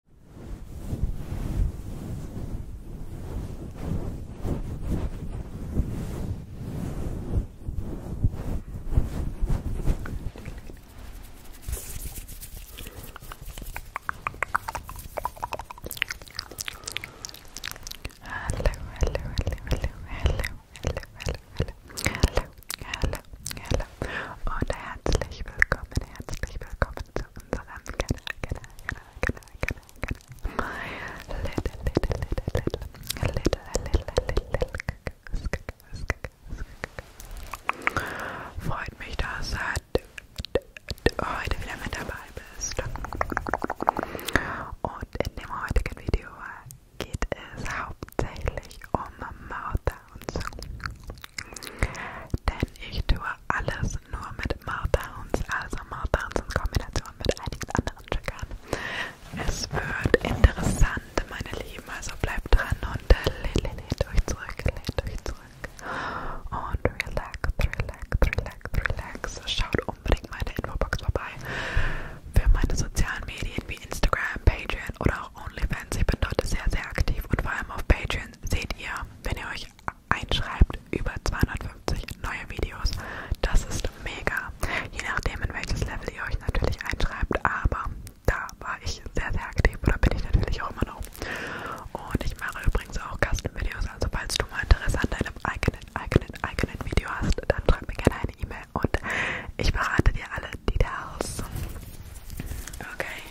hallo, hallo, hallo und herzlich willkommen, herzlich willkommen, zu unserem Kanal, Kanal, Kanal, Kanal, Kanal, Little, little, little, little, little, little, little, Freut mich, dass du heute wieder mit dabei bist. Und in dem heutigen Video geht es hauptsächlich um Mouth Sounds. Denn ich tue alles nur mit Martowns, also Martowns in Kombination mit einigen anderen Triggern. Es wird interessant, meine Lieben, also bleibt dran und lehnt äh, lehnt euch zurück, lehnt euch zurück und relax, relax, relax, relax. Schaut unbedingt meine Infobox vorbei für meine sozialen Medien wie Instagram, Patreon oder auch OnlyFans. Fans, ich bin dort sehr, sehr aktiv und vor allem auf Patreon seht ihr, wenn ihr euch einschreibt, über 250 neue Videos. Das ist mega. Je nachdem, in welches Level ihr euch natürlich einschreibt, aber da war ich sehr, sehr aktiv oder bin ich natürlich auch immer noch. Und ich mache übrigens auch Custom-Videos, also falls du mal Interesse an deinem eigenen, eigenen, eigenen Video hast, dann schreib mir gerne eine E-Mail und ich verrate dir alle Details. Okay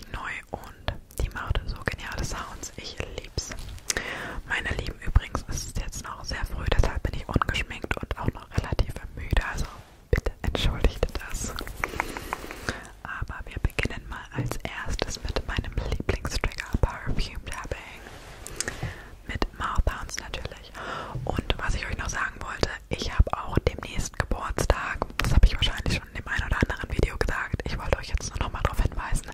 völlig neu und die machte so geniale Sounds. Ich lieb's. Meine Lieben, übrigens ist es jetzt noch sehr früh, deshalb bin ich ungeschminkt und auch noch relativ müde. Also bitte entschuldigt das. Aber wir beginnen mal als erstes mit meinem Lieblingstrigger Perfume Tapping. Mit Mouth Bounce natürlich. Und was ich euch noch sagen wollte, ich habe auch demnächst Geburtstag. Das habe ich wahrscheinlich schon in dem einen oder anderen Video gesagt. Ich wollte euch jetzt nur nochmal darauf hinweisen,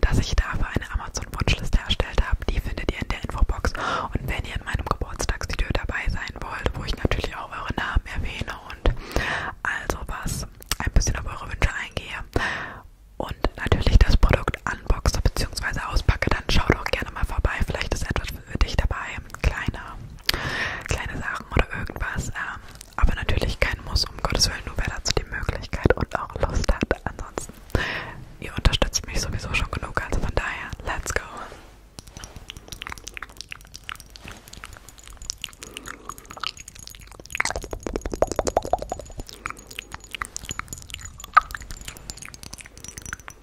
dass ich dafür eine Amazon-Wunschliste erstellt habe. Die findet ihr in der Infobox. Und wenn ihr in meinem Geburtstagsvideo dabei sein wollt, wo ich natürlich auch eure Namen erwähne und also was ein bisschen auf eure Wünsche eingehe und natürlich das Produkt unboxe bzw. auspacke, dann schaut auch gerne mal vorbei. Vielleicht ist etwas für dich dabei. Kleiner kleine Sachen oder irgendwas. Ähm, aber natürlich kein Muss, um Gottes Willen, nur wer dazu die Möglichkeit und auch Lust hat. Ansonsten, ihr unterstützt mich sowieso schon genug, also von daher, let's go!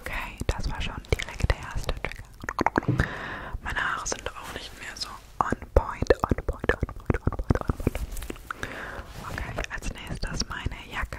Okay, das war schon direkt der erste Trigger. Meine Haare sind auch nicht mehr so on point, on point, on point, on point, on point. Okay, als nächstes meine Jacke.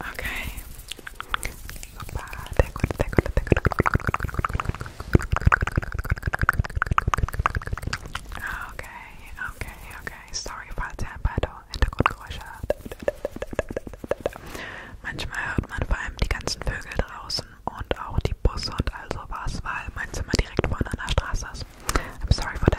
Okay. Super, sehr gut, sehr gut, sehr gut. Okay, okay, okay. Sorry, falls ihr ein paar Hintergrundgeräusche hört. Manchmal hört man vor allem die ganzen Vögel draußen und auch die Busse und all sowas, weil mein Zimmer direkt vorne an der Straße ist. I'm sorry for that.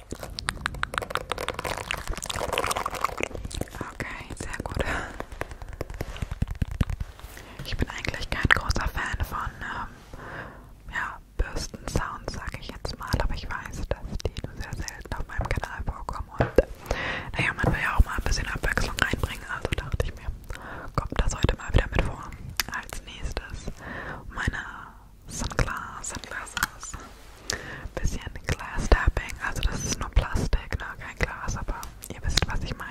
Okay, sehr gut. Ich bin eigentlich kein großer Fan von ähm, ja, Bürstensounds, sage ich jetzt mal, aber ich weiß, dass die nur sehr selten auf meinem Kanal vorkommen und naja, man will ja auch mal ein bisschen Abwechslung reinbringen, also dachte ich mir, kommt das heute mal wieder mit vor. Als nächstes meine Sunglass, Sunglasses. Bisschen Glass Tapping, also das ist nur Plastik, ne? kein Glas, aber ihr wisst, was ich meine.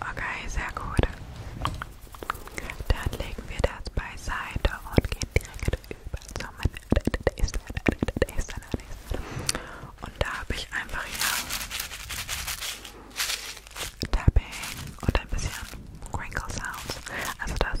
Okay, sehr gut. Dann legen wir das beiseite und gehen direkt über zum Und da habe ich einfach hier Tapping und ein bisschen Crinkle Sounds. Also das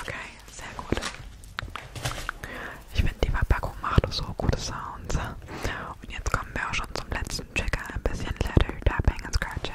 Okay, sehr gut. Ich finde, die Verpackung macht so gute Sounds. Und jetzt kommen wir auch schon zum letzten Trigger. Ein bisschen Leather Tapping and Scratching.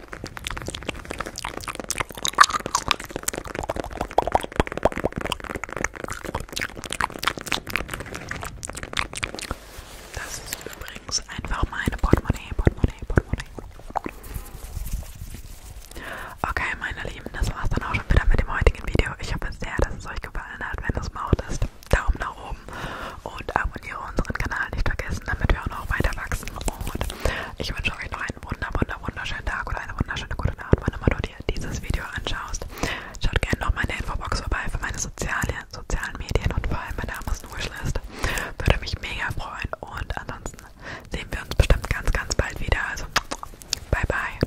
Das ist übrigens einfach meine Portemonnaie, Portemonnaie, Portemonnaie. Okay, meine Lieben, das war's dann auch schon wieder mit dem heutigen Video. Ich hoffe sehr, dass es euch gefallen hat. Wenn es macht, ist Daumen nach oben und abonniere unseren Kanal nicht vergessen, damit wir auch noch weiter wachsen. Und ich wünsche euch noch einen einen wunder, wunder, wunderschönen Tag oder eine wunderschöne gute Nacht, wann immer du dir dieses Video anschaust. Schaut gerne noch meine Infobox vorbei für meine soziale, sozialen Medien und vor allem meine Amazon-Wishlist. Würde mich mega freuen und ansonsten sehen wir uns bestimmt ganz, ganz bald wieder. Also, bye, bye.